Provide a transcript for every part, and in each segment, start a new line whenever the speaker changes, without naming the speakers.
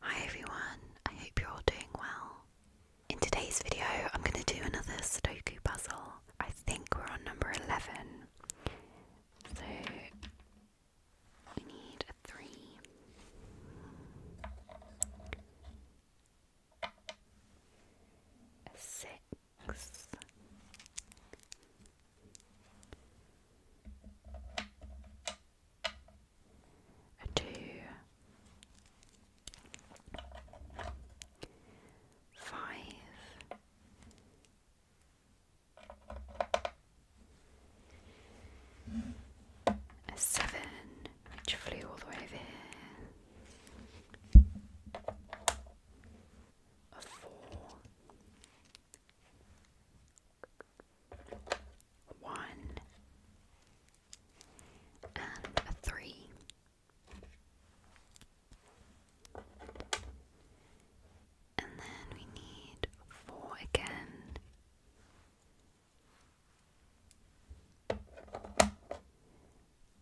Hi everyone, I hope you're all doing well. In today's video, I'm going to do another Sudoku puzzle. I think we're on number 11. So, we need a 3. A 6 a two, five, a seven, which flew all the way over here, a four one, and three. And then we need four again.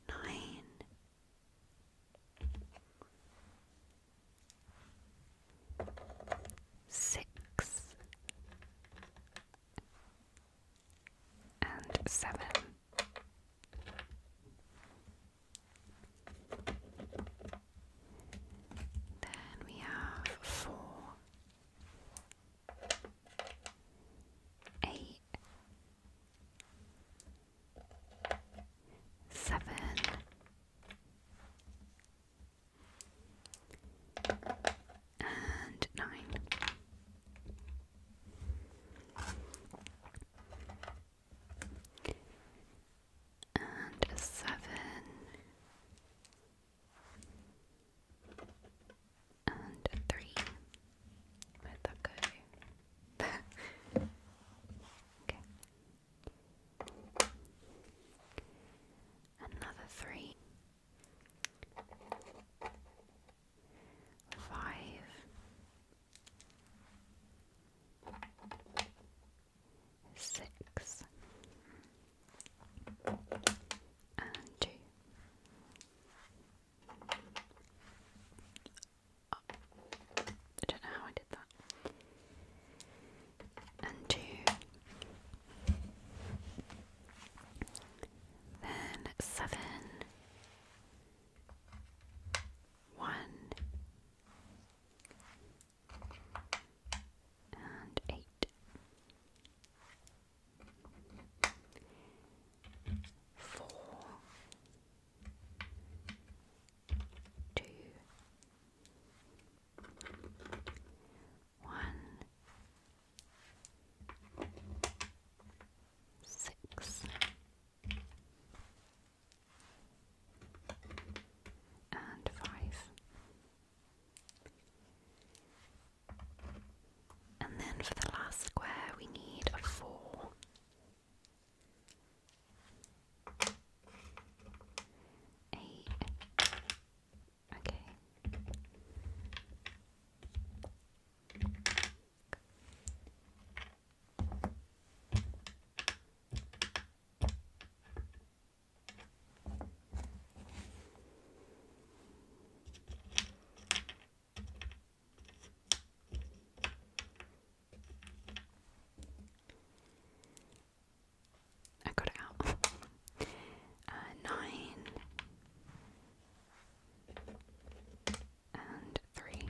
Nine six, and seven. Then we have four, eight, seven, and nine. And seven and three. that go? okay. Another three, five, six, and two. I don't know how I did that and two, then seven, one, and eight one, six, and five. And then for the last square, we need a four. Eight. Okay. I got it out. Uh, nine and three.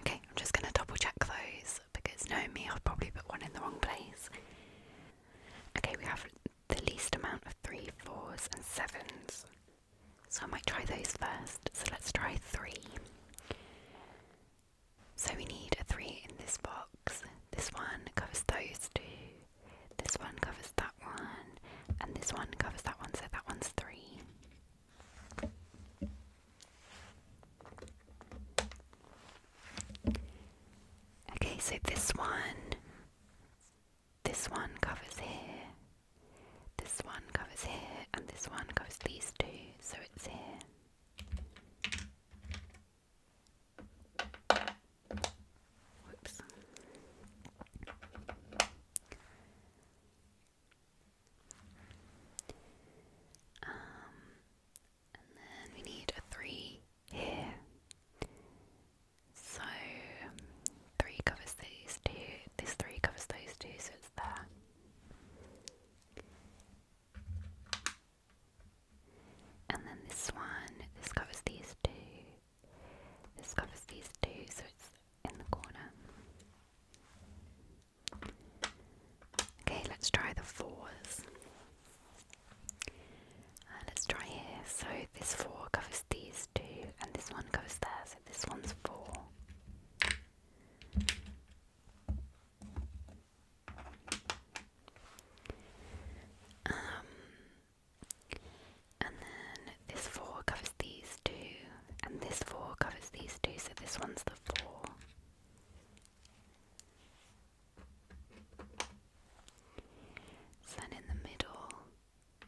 Okay, I'm just going to double check those because no me, I've probably put one in the wrong place. Okay, we have the least amount of three, fours, and sevens. So I might try those first. So let's try three. So we need a 3 in this box. This one covers those two, this one covers that one, and this one covers that one, so that one's 3. Okay, so this one, this one covers here, this one covers here, and this one covers these two, so it's here. Whoops. Um, and then we need a three here. So three covers these two. This three covers those two, so it's there. And then this one, this covers these two. This covers these two, so it's in the corner. Okay, let's try the fours. Uh, let's try here. So this four covers these two, and this one goes there, so this one's four. Um, and then this 4 covers these two, and this 4 covers these two, so this one's the 4. then in the middle,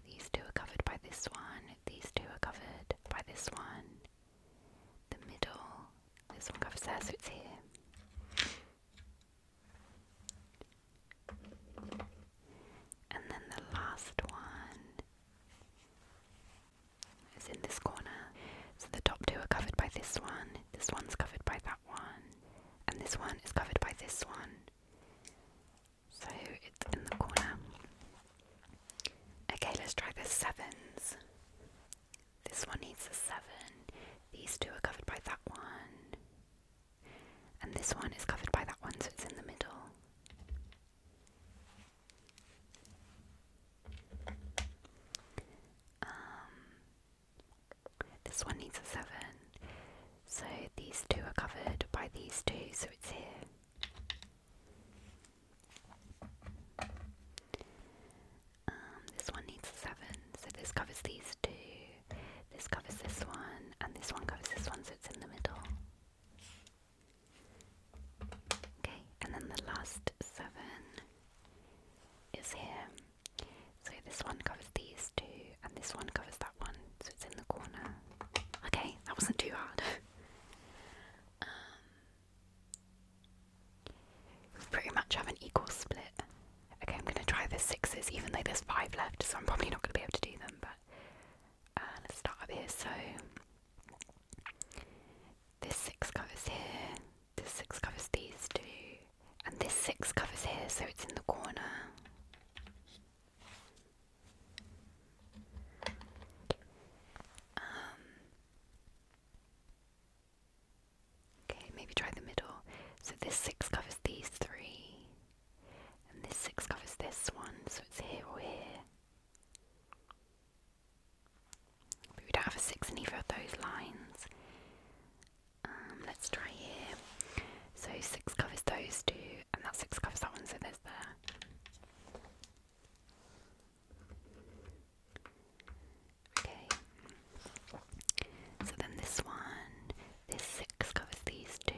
these two are covered by this one, these two are covered by this one, the middle. There's one cover there, so it's here. And then the last one is in this corner. So the top two are covered by this one, this one's covered by that one, and this one is covered by this one. So it's in the corner. Okay, let's try the sevens. This one needs a seven. These two are covered by that one. And this one is covered by that one, so it's in the middle. Um, this one needs a seven. So these two are covered by these two, so it's here. Um, this one needs a 7, so this covers these two, this covers this one, and this one covers this one, so it's in the middle. Okay, and then the last 7 is here. So this one covers these two, and this one covers that one, so it's in the corner. Okay, that wasn't too hard. Um, we pretty much have an equal split. Okay, I'm gonna try the sixes, even though there's five left, so I'm probably not gonna be able to do them, but uh, let's start up here. So this six covers here, this six covers these two, and this six covers here, so it's in the corner. Um, okay, maybe try the middle. So this six covers these three, and this six covers this one, so it's here or here. we don't have a six in either of those lines. Um, let's try here. So six covers those two, and that six covers that one, so there's there. Okay. So then this one, this six covers these two.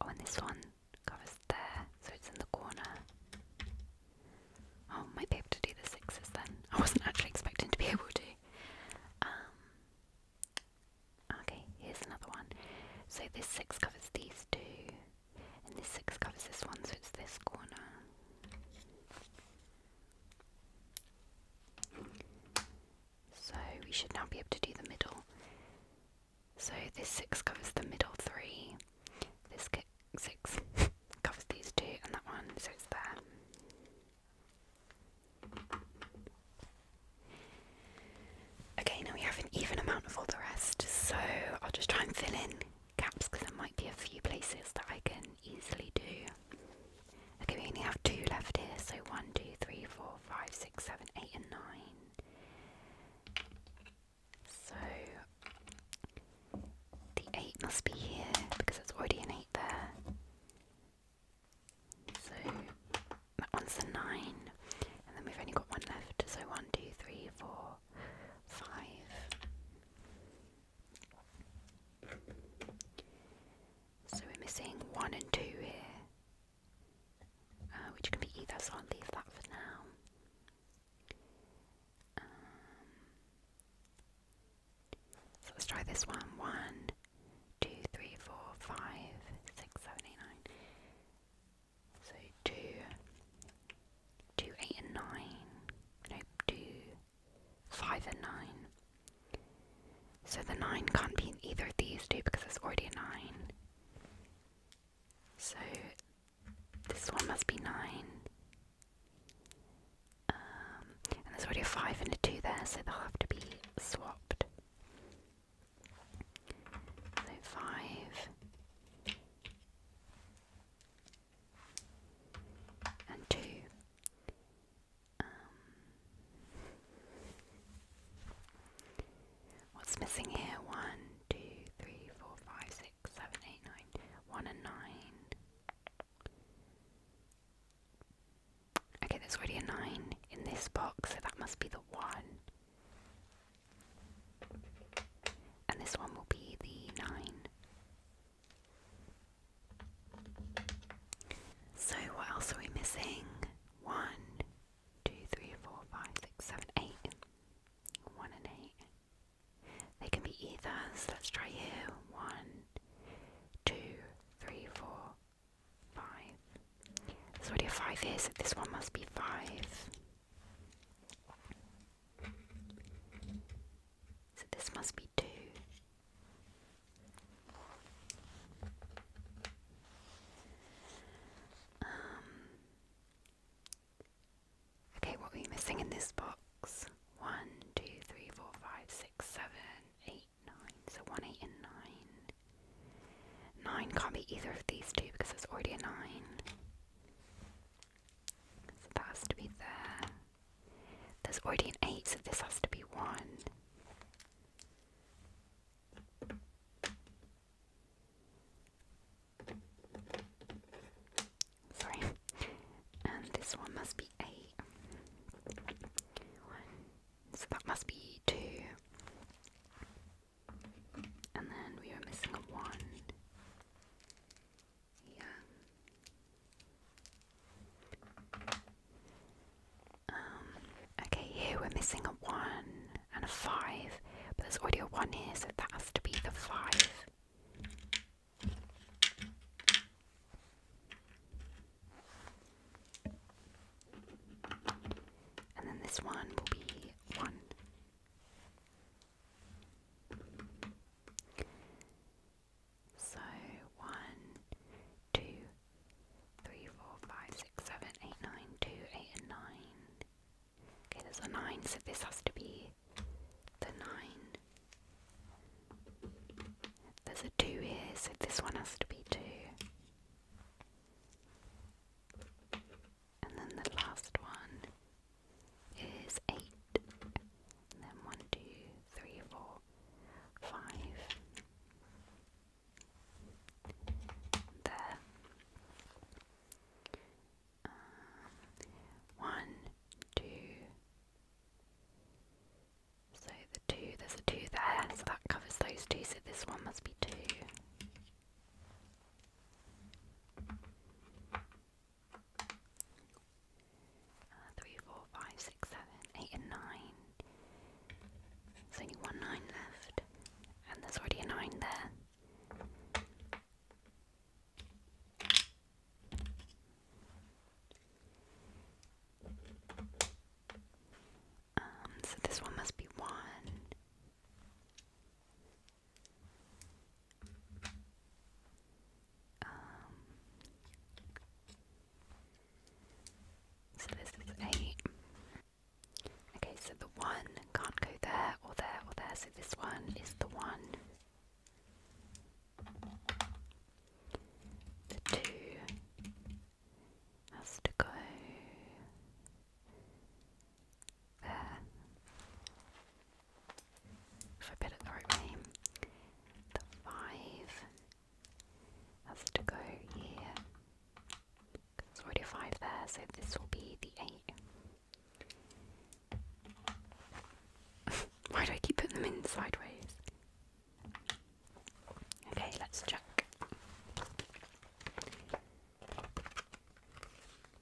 Oh, and this one covers there, so it's in the corner. Oh, might be able to do the sixes then. I wasn't actually expecting to be able to. Um, okay, here's another one. So this six covers these two. And this 6 covers this one, so it's this corner. So we should now be able to do the middle. So this 6 covers the middle 3. This 6 covers these two and that one, so it's there. Okay, now we have an even amount of all the rest, so I'll just try and fill in gaps because there might be a few places that I can easily do. Okay, we only have two left here, so one, two, three, four, five, six, seven, eight, and 9. So, the 8 must be here because it's already an 8 there. So, that one's a 9, and then we've only got one left, so 1, five. So we're missing one and two here, uh, which can be either, so I'll leave that for now. Um, so let's try this one. One, two, three, four, five, six, seven, eight, nine. So two, two, eight and nine. Nope, two, five and nine. So the nine can't be either of these two because it's already a nine. So this one must be nine. Um, and there's already a five and a two there, so they'll have to be swapped. So five and two. Um, what's missing here? One, two, three, four, five, six, seven, eight, nine. One and nine. Okay, there's already a nine in this box, so that must be the one. And this one will be the 9. So, what else are we missing? 1, 1 and 8. They can be ethers. Let's try here. One, two, three, four, five. There's already a 5 here, so this one must be 5. So this must be two. Um, okay, what are we missing in this box? One, two, three, four, five, six, seven, eight, nine. So one, eight, and nine. Nine can't be either of these two because there's already a nine. So that has to be there. There's already an 8, so this has to be 1. Sorry. And this one must be 8. 1. So that must be 2. And then we are missing a one. Yeah. Um, okay, here we're missing a one and a five, but there's already a one here, so that has to be the five. And then this one will be one. So four, five, six, seven, one, two, three, four, five, six, seven, eight, nine, two, eight, and nine. Okay, there's a nine, so this has to be the nine. There's a two here, so this one has to be two. And then the last one is 8. And then 1, There. Um, 1, 2. So the 2, there's a 2 there, so that covers those two, so this one must be 2. Uh, three, four, five, six, seven, eight, and nine. There's only one nine left, and there's already a nine there. Um, so this one must be one. Um, so this is eight. Okay, so the one can't go there or there or there, so this one is the one. The two has to go if I put it the right way, the five has to go here. There's already five there, so this will be the eight. Why do I keep putting them in sideways? Okay, let's check.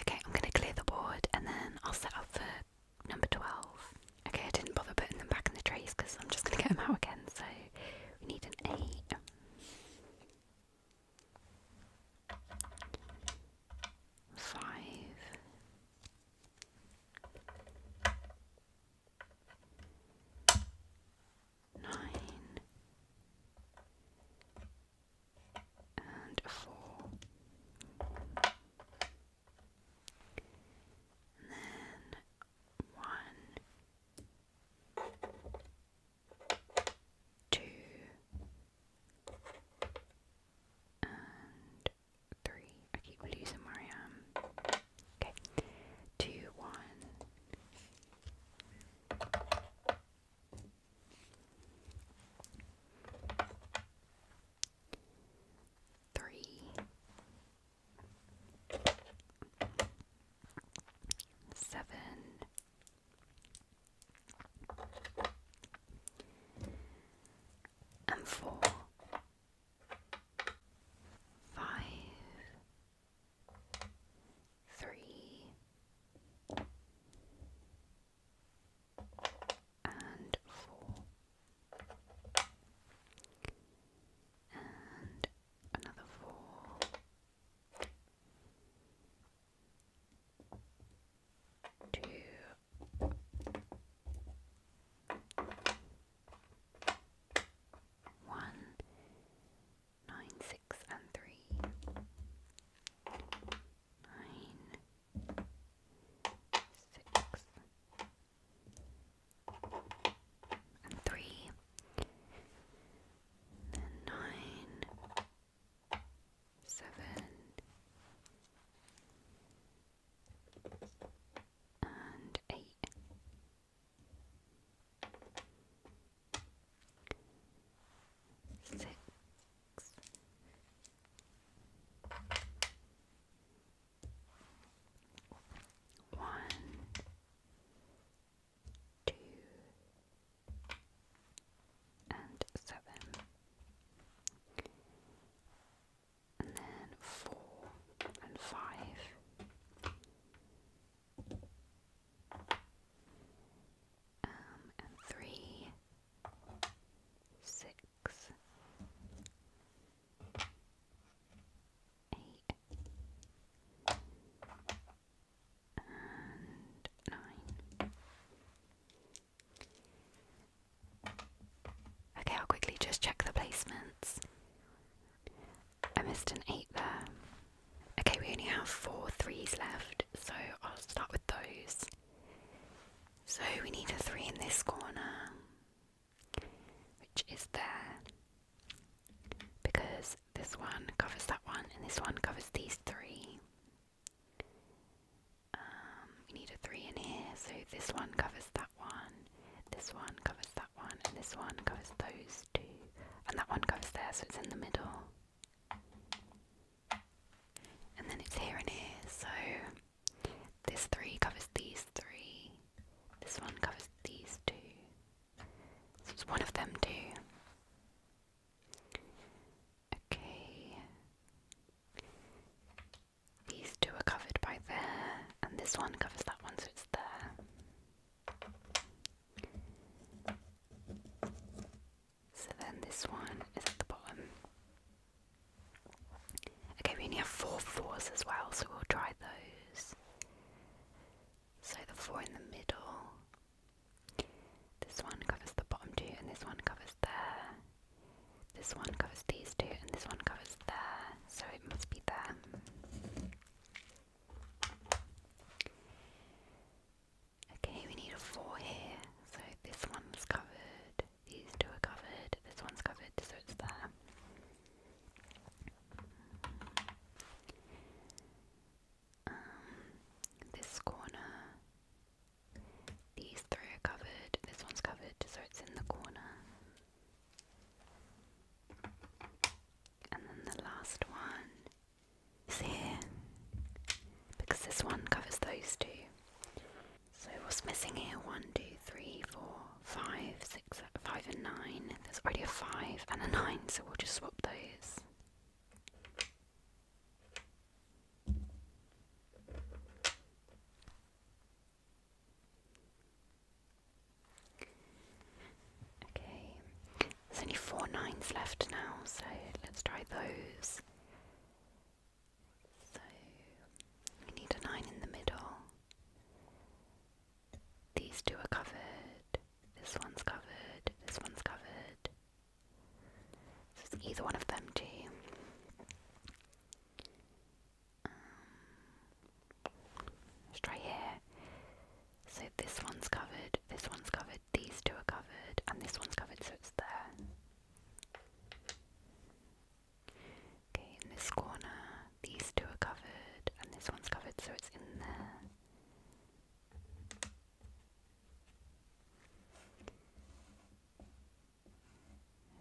Okay, I'm going to clear the board and then I'll set up for number 12. Okay, I didn't bother putting them back in the trays because I'm just going to get them out again, so we need an 8 and 4. then 1, 2, and 3. I keep losing where I am. Okay, 2, 1. Three, seven, and four, five, three, and four, and another four, nine, six, and three. Nine, six, and three. Then nine, seven, and eight six, one, two, and seven, and then four and five. Um, three, six, eight, and nine. Okay, I'll quickly just check the placements. I missed an eight there. Okay, we only have four threes left, so I'll start with those. So we need a three in this corner, which is there, because this one covers that one, and this one covers these three. Um, we need a three in here, so this one covers that one, this one covers that one, and this one covers those two, and that one goes there, so it's in the middle. And then it's here and here, so this three covers these three. This one covers these two. So it's one of them too. Okay. These two are covered by there, and this one covers that one, so it's there. So then this one is at the bottom. Okay, we only have four fours as well, so we'll try those. So the four in the middle. This one covers the bottom two, and this one covers there. This one covers these two, and this one covers there. So it must be there. Okay, we need a four here. So this one's covered. These two are covered. This one's covered, so it's there. Um, this corner. These three are covered. This one's covered, so it's in the corner. And then the last one is here because this one covers those two. So what's missing here? One, two, three, four, five, six, five and nine. There's already a five and a nine, so we'll just swap those. Okay, there's only four nines left now, so let's try those. So we need a nine in the middle. These two are covered. This one's covered. This one's covered. So it's either one of them two. Um, let's try here. So this one's covered, this one's covered, these two are covered, and this one's covered, so it's there. Okay, in this corner, these two are covered, and this one's covered, so it's in there.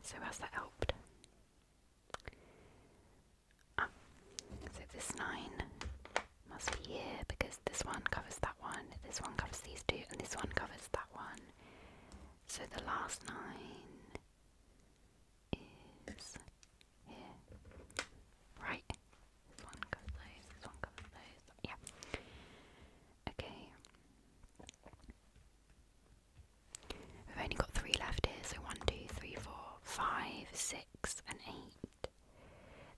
So has that helped? Ah, so this nine must be here because this one covers that one, this one covers these two, and this one covers that one. So the last nine is here. Right. This one covers those, this one covers those. Yeah. Okay. We've only got three left here, so one, two, three, four, five, six six and eight.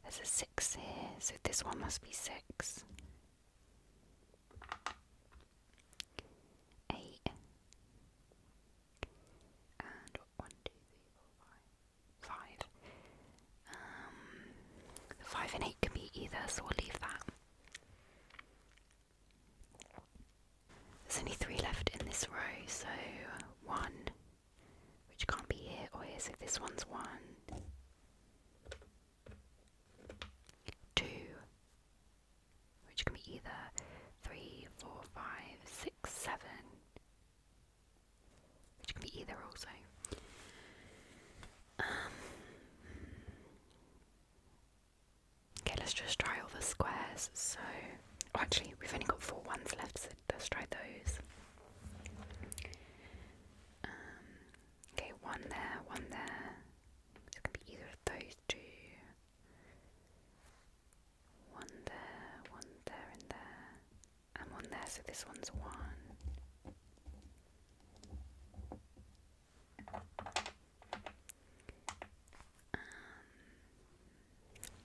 There's a six here, so this one must be six. Eight. And one, two, three, Um, five and eight can be either, so we'll leave that. There's only three left in this row, so one, which can't be here or is so This one's one. Two. Which can be either three, four, five, six, seven. Which can be either also. Um, okay, let's just try all the squares. So, oh, actually, we've only got four ones left, so let's try those. Um, okay, one there, one there. So it can be either of those two. One there, one there, and there. And one there, so this one's one. Um,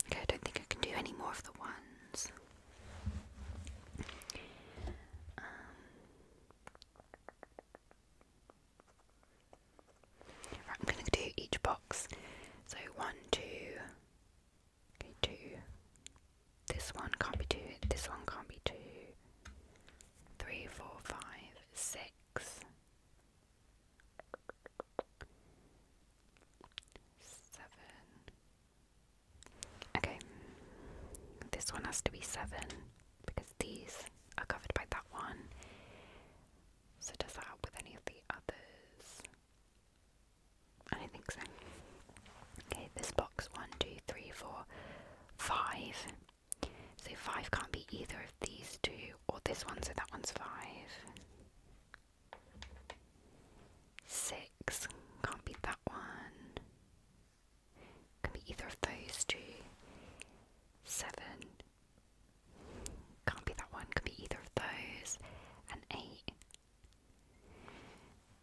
Okay, I don't think I can do any more of the ones. Um, I'm going to do each box. So one, two, okay, two. This one can't be two. This one can't be two. Three, four, five, Okay, this one has to be seven because these are covered by that one. So, does that help with any of the others? I don't think so. Okay, this box one, two, three, four, five. So, five can't be either of these two or this one, so that one's five. Six. Can't be that one. Can be either of those two. Seven. Can't be that one. Can be either of those. And eight.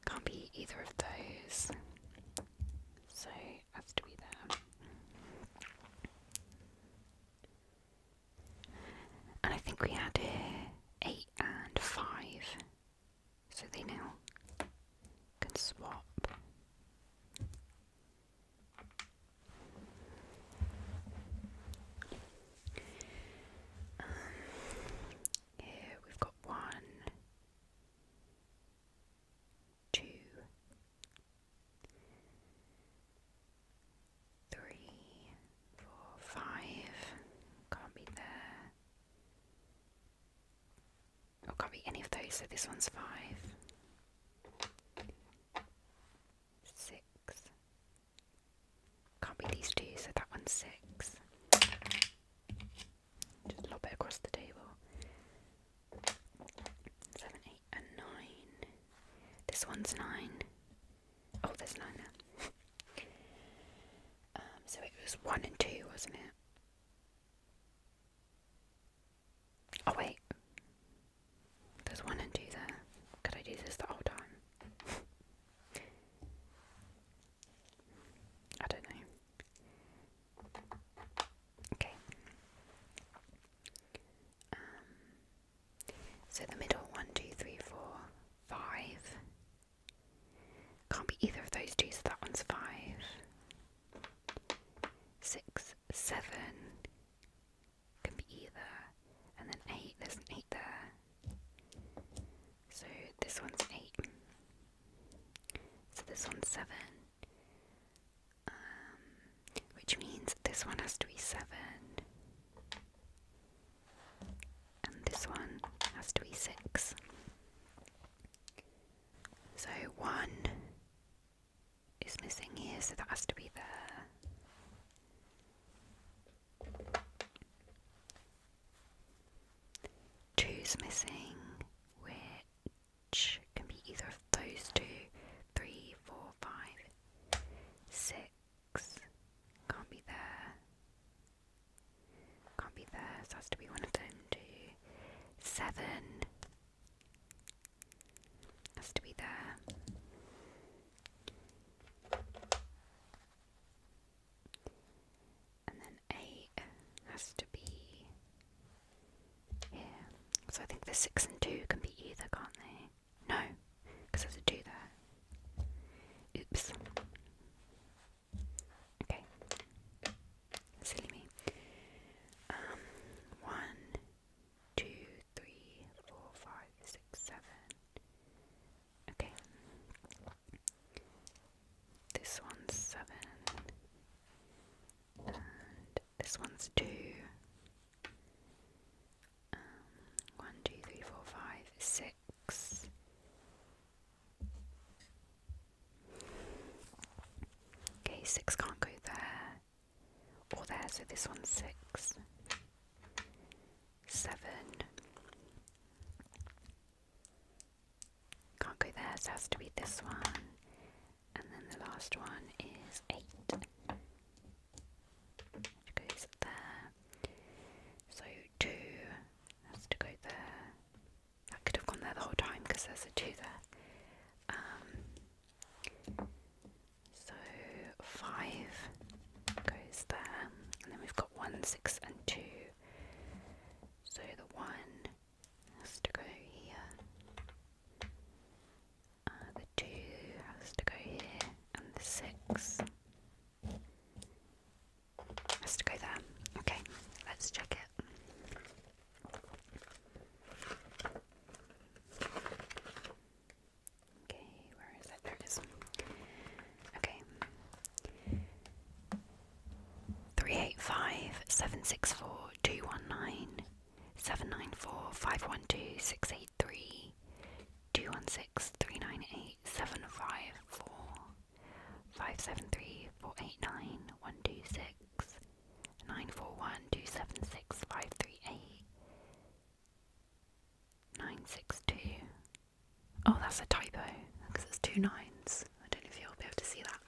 Can't be either of those. So that's to be there. And I think we had 8 and 5, so they now can swap. Um, here we've got one, two, three, four, five. Can't be there. Oh, can't be any of those, so this one's five. Six. Can't be these two, so that one's six. Just lob it across the table. Seven, eight, and nine. This one's nine. Oh, there's nine there. Um, so it was one and two, wasn't it? Oh, wait. There's one and two there. Could I do this the whole time? I don't know. Okay. Um, so the middle, one, two, three, four, five. Can't be either of those two, so that one's five. Six, seven. Can be either. And then eight, there's an eight there. So this one's eight. So this one's seven. Um, which means this one has to be seven and this one has to be six. So one is missing here, so that has to be there. Two's missing, which can be either of those two, three, four, five, six. Can't be there. Can't be there, so has to be one of them too. Seven. Has to be there. And then eight has to be here. So I think the six and two can be either, can't they? No, because there's a two there. Oops. Okay. Silly me. Um, one, two, three, four, five, six, seven. Okay. This one's seven. And this one's two. Um, one, two, three, four, five, six. Okay, six can't go there or there, so this one six. Seven. Can't go there, so has to be this one. And then the last one is eight goes there. So two has to go there. I could have gone there the whole time because there's a two there. Um, so five goes there, and then we've got one, six, and two. So the one has to go here, uh, the two has to go here, and the six has to go there. Okay, let's check it. Okay, where is it? There it is. Okay. Three eight five seven six four two one nine seven nine four five one two six eight three two one six three nine eight seven five four five seven three four eight nine one two six nine four one two seven six five three eight nine six two. Oh, that's a typo because it's two nines. I don't know if you'll be able to see that.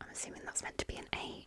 I'm assuming that's meant to be an eight.